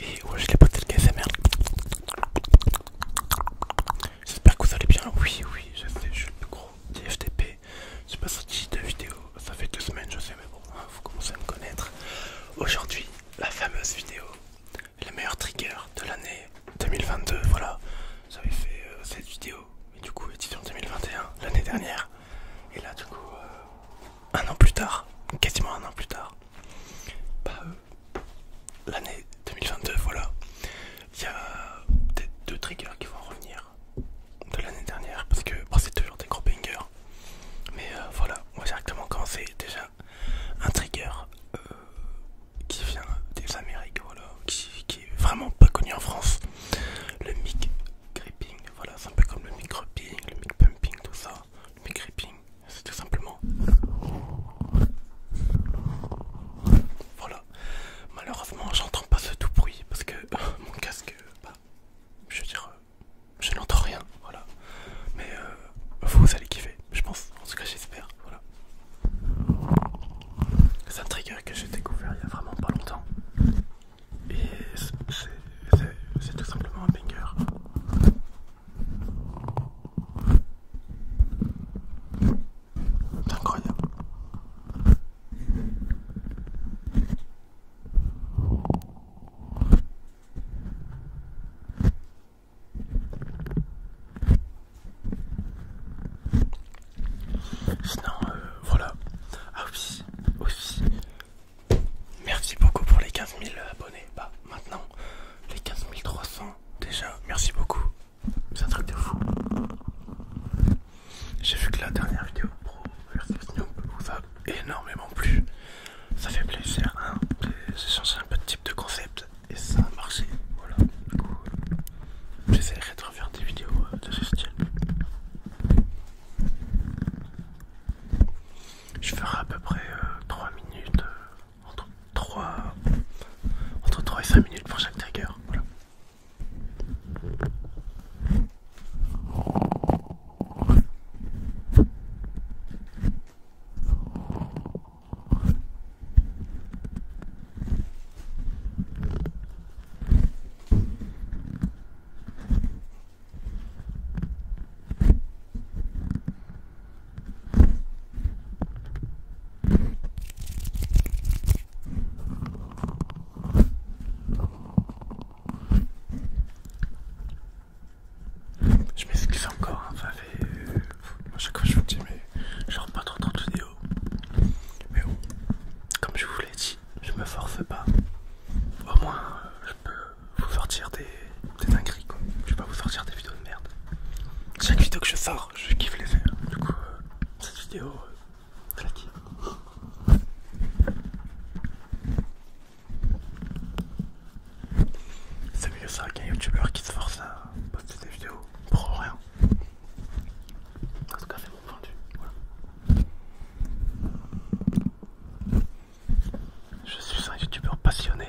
Et ouais, les potes, et le KSMR. J'espère que vous allez bien. Oui, oui, je sais, je suis le gros DFTP. Je J'ai pas sorti de vidéo, ça fait deux semaines, je sais, mais bon, hein, vous commencez à me connaître. Aujourd'hui, la fameuse vidéo, le meilleur trigger de l'année 2022. Voilà, j'avais fait euh, cette vidéo, mais du coup, édition 2021, l'année dernière. Et là, du coup, euh, un an plus tard, quasiment un an plus tard, euh, l'année 2022, voilà. Il y a peut-être deux triggers qui vont revenir de l'année dernière parce que bah, c'est toujours des gros bangers. Mais euh, voilà, on va directement commencer déjà un trigger euh, qui vient des Amériques, voilà, qui, est vraiment pas connu en France. Le mic gripping, voilà, c'est un peu comme le mic gripping, le mic pumping, tout ça gripping, c'est tout simplement. Voilà, malheureusement, j'entends pas ce tout bruit parce que euh, mon casque, euh, bah, je veux dire, euh, je n'entends rien. Voilà, mais vous allez kiffer, je pense, en tout cas, j'espère. Voilà, c'est un trigger que j'ai découvert il y a vraiment pas longtemps, et c'est c'est tout simplement un banger. incroyable. Sinon, euh, voilà. Ah oui, aussi, Merci beaucoup pour les 15 000 abonnés. Bah, maintenant, les 15 300 déjà. Merci beaucoup. C'est un truc de fou. J'ai vu que la dernière vidéo pro vous a énormément plu. Ça fait plaisir, hein. J'ai changé un peu de type de concept et ça a marché. Voilà, du coup, j'essaierai de refaire des vidéos euh, de ce style. Je ferai à peu près 3 euh, minutes, euh, entre, 3, entre 3 et 5 minutes pour chaque trigger. Voilà. Je m'excuse encore, hein, euh, à chaque fois je vous dis mais je rentre pas trop dans de vidéo. Mais bon, comme je vous l'ai dit, je me force pas. Au moins, euh, je peux vous sortir des, dingues, dingueries quoi. Je vais pas vous sortir des vidéos de merde. Chaque vidéo que je sors, je kiffe les faire. Du coup, euh, cette vidéo, claquée. Euh, la C'est mieux ça qu'un youtubeur qui se force à poster des vidéos pour rien. En tout cas, c'est mon point de vue. Voilà. Je suis un youtubeur passionné.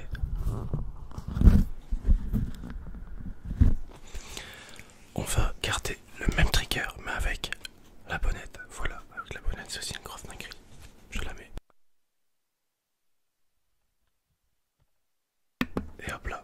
On va garder le même trigger mais avec la bonnette. Voilà, avec la bonnette, c'est aussi une grosse Je la mets. Et hop là.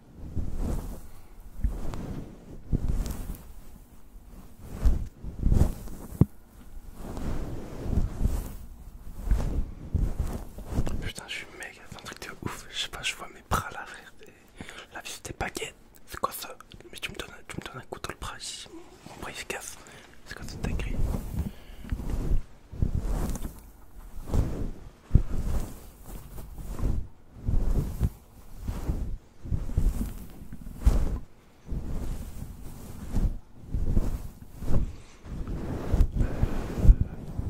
Putain, je suis mec, c'est un truc de ouf. Je sais pas, je vois mes bras là, La vie, c'était baguette. C'est quoi ça Mais tu me donnes, tu me donnes un couteau le bras ici. Mon bras il se casse. C'est quoi cette gris?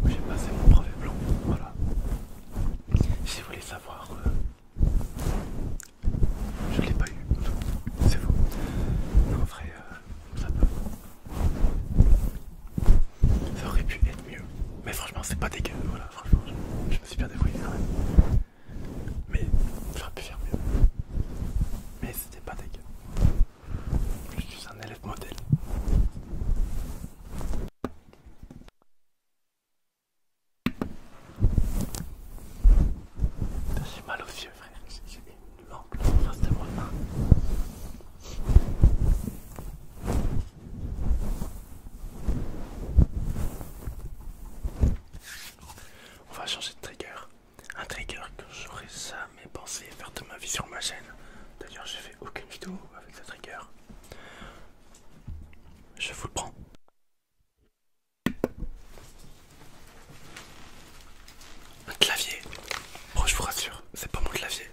J'ai passé mon brevet blanc, voilà. Si vous voulez savoir, euh, je ne l'ai pas eu, c'est faux. Mais en vrai, euh, ça peut ça aurait pu être mieux. Mais franchement, c'est pas dégueu. Voilà, franchement, je, me suis bien débrouillé Mais j'aurais pu faire mieux. Mais c'était pas dégueu. Je suis un élève modèle. J'ai mal aux yeux, frère. J'ai une en face de moi. Hein. On va changer de trigger. Un trigger que j'aurais jamais pensé faire de ma vie sur ma chaîne. D'ailleurs, j'ai fait aucune vidéo avec ce trigger. Je vous le prends. Un clavier. Oh je vous rassure, c'est pas mon clavier.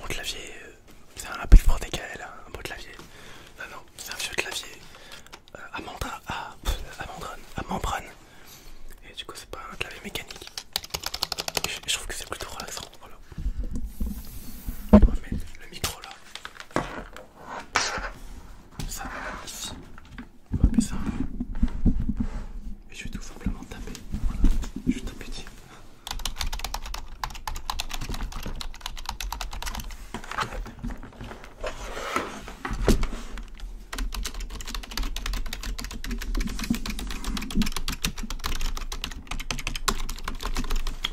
Mon clavier, euh, c'est un appel pour des KL, hein, un beau clavier. Non, non, c'est un vieux clavier à, mandra, à, à, membrane, à membrane. Et du coup, c'est pas un clavier mécanique. je, trouve que c'est plutôt relaxant. On va mettre le micro là. Ça, ici. On va mettre ça. Et je vais tout simplement taper. Voilà. Je tape taper.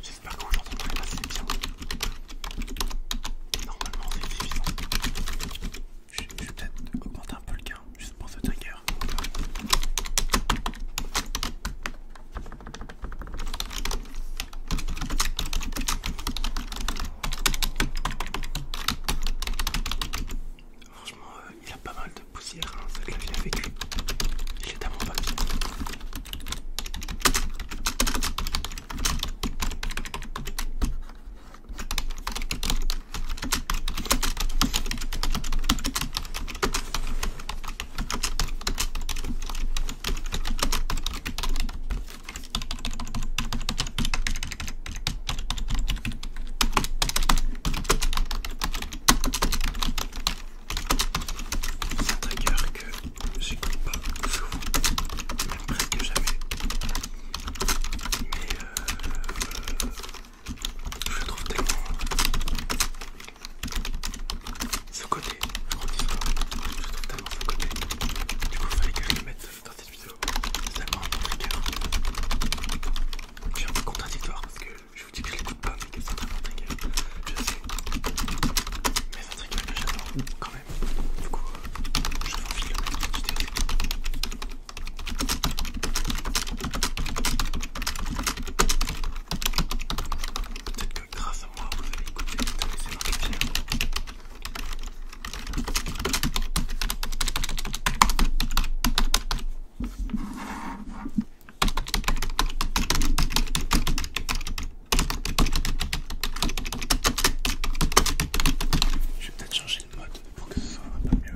J'espère que vous l'entendrez assez bien. Normalement, c'est suffisant. je vais peut-être augmenter un peu le gain juste pour ce trigger. Franchement, euh, il a pas mal de poussière, celle là que fait a vécu. Il est à mon papier. C'est un trigger que je j'écoute pas souvent, même presque jamais. Mais euh, je trouve tellement ce côté, je histoire, je trouve tellement ce côté. Du coup, il fallait que je le mette dans cette vidéo. C'est tellement un trigger. Hein. Je suis un peu contradictoire parce que je vous dis que je l'écoute pas, mais que c'est vraiment trigger. Je sais. Mais c'est un trigger que j'adore quand même. Du coup, euh, je vais envie de le mettre dans cette vidéo. Peut-être que grâce à moi, vous allez écouter toutes ces marques je vais peut-être changer de mode pour que ce soit un peu mieux.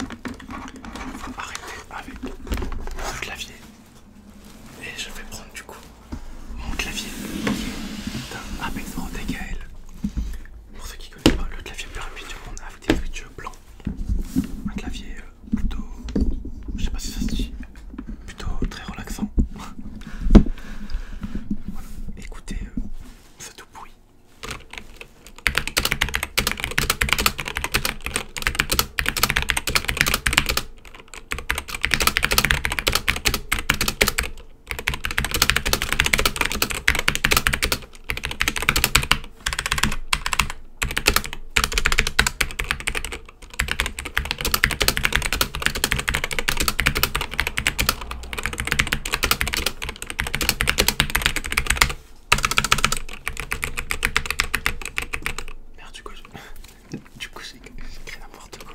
On va arrêter avec le clavier et je vais prendre du coup mon clavier un Apex Pro Pour ceux qui connaissent pas, le clavier plus rapide du monde avec des switches blancs. Un clavier euh, plutôt, je sais pas si ça se dit, plutôt très relaxant. voilà. Écoutez, euh, c'est tout bruit. Merde, du coup, du coup, c'est écrit n'importe quoi.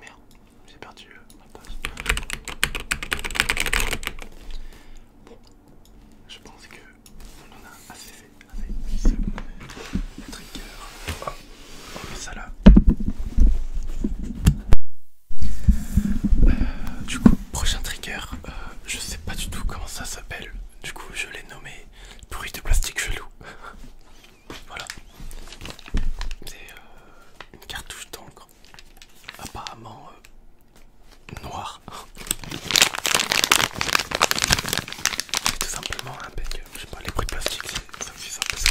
Merde, j'ai perdu euh, ma passe. Bon, je pense que on en a assez fait. Assez, trigger. Oh, on oh, met ça là. Euh, du coup, prochain trigger, euh, je sais pas du tout comment ça s'appelle. Du coup, je l'ai nommé bruit de plastique chelou. voilà. C'est euh, une cartouche d'encre. Apparemment euh, noire. C'est tout simplement un bec. Euh, je sais pas, les bruits de plastique, c'est ça, c'est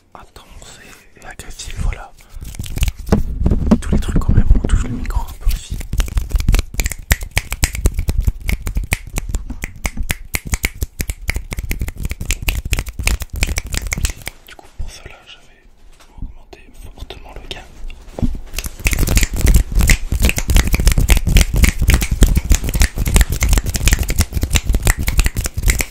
c'est c'est agressif, voilà. Tous les trucs quand même, on touche le micro un peu aussi. Du coup pour cela j'avais augmenté fortement le gain.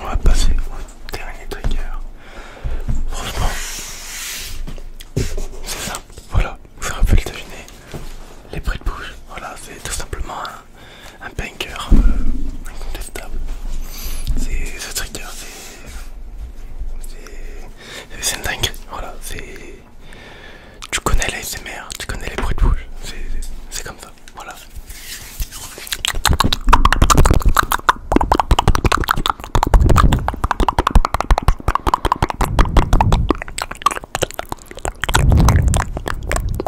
On va passer au dernier trigger. Franchement, c'est simple. Voilà, vous aurez pu le deviner. Les prix de bouche. Voilà, c'est tout simplement un bunker incontestable. C'est ce trigger, c'est. C'est dingue, voilà, c'est. Tu connais l'ASMR, tu connais les bruits de bouche, c'est comme ça, voilà.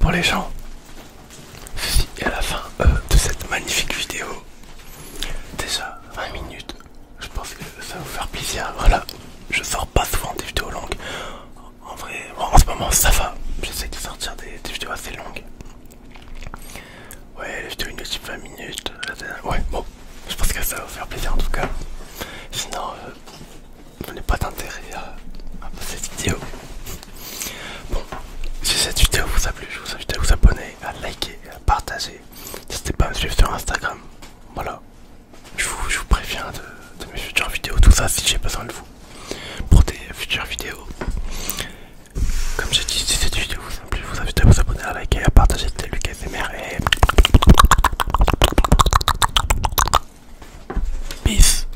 pour les gens. Si à la fin euh, de cette magnifique vidéo. Déjà 20 minutes. Je pense que ça va vous faire plaisir. Voilà, je sors pas souvent des vidéos longues. En vrai, en ce moment ça va. J'essaie de sortir des, vidéos assez longues. Ouais, les vidéos petite 20 minutes. Ouais, bon, je pense que ça va vous faire plaisir en tout cas. Sinon, Vous je n'ai pas d'intérêt à, cette vidéo. Bon, si cette vidéo vous a plu, je vous invite à vous abonner, à liker, à partager. N'hésitez pas à me suivre sur Instagram. Voilà, je vous, préviens de, mes futures vidéos, tout ça si j'ai besoin de vous pour des futures vidéos. Comme j'ai dit, si cette vidéo vous a plu, je vous invite à vous abonner, à liker, à partager. C'était Lucas et Peace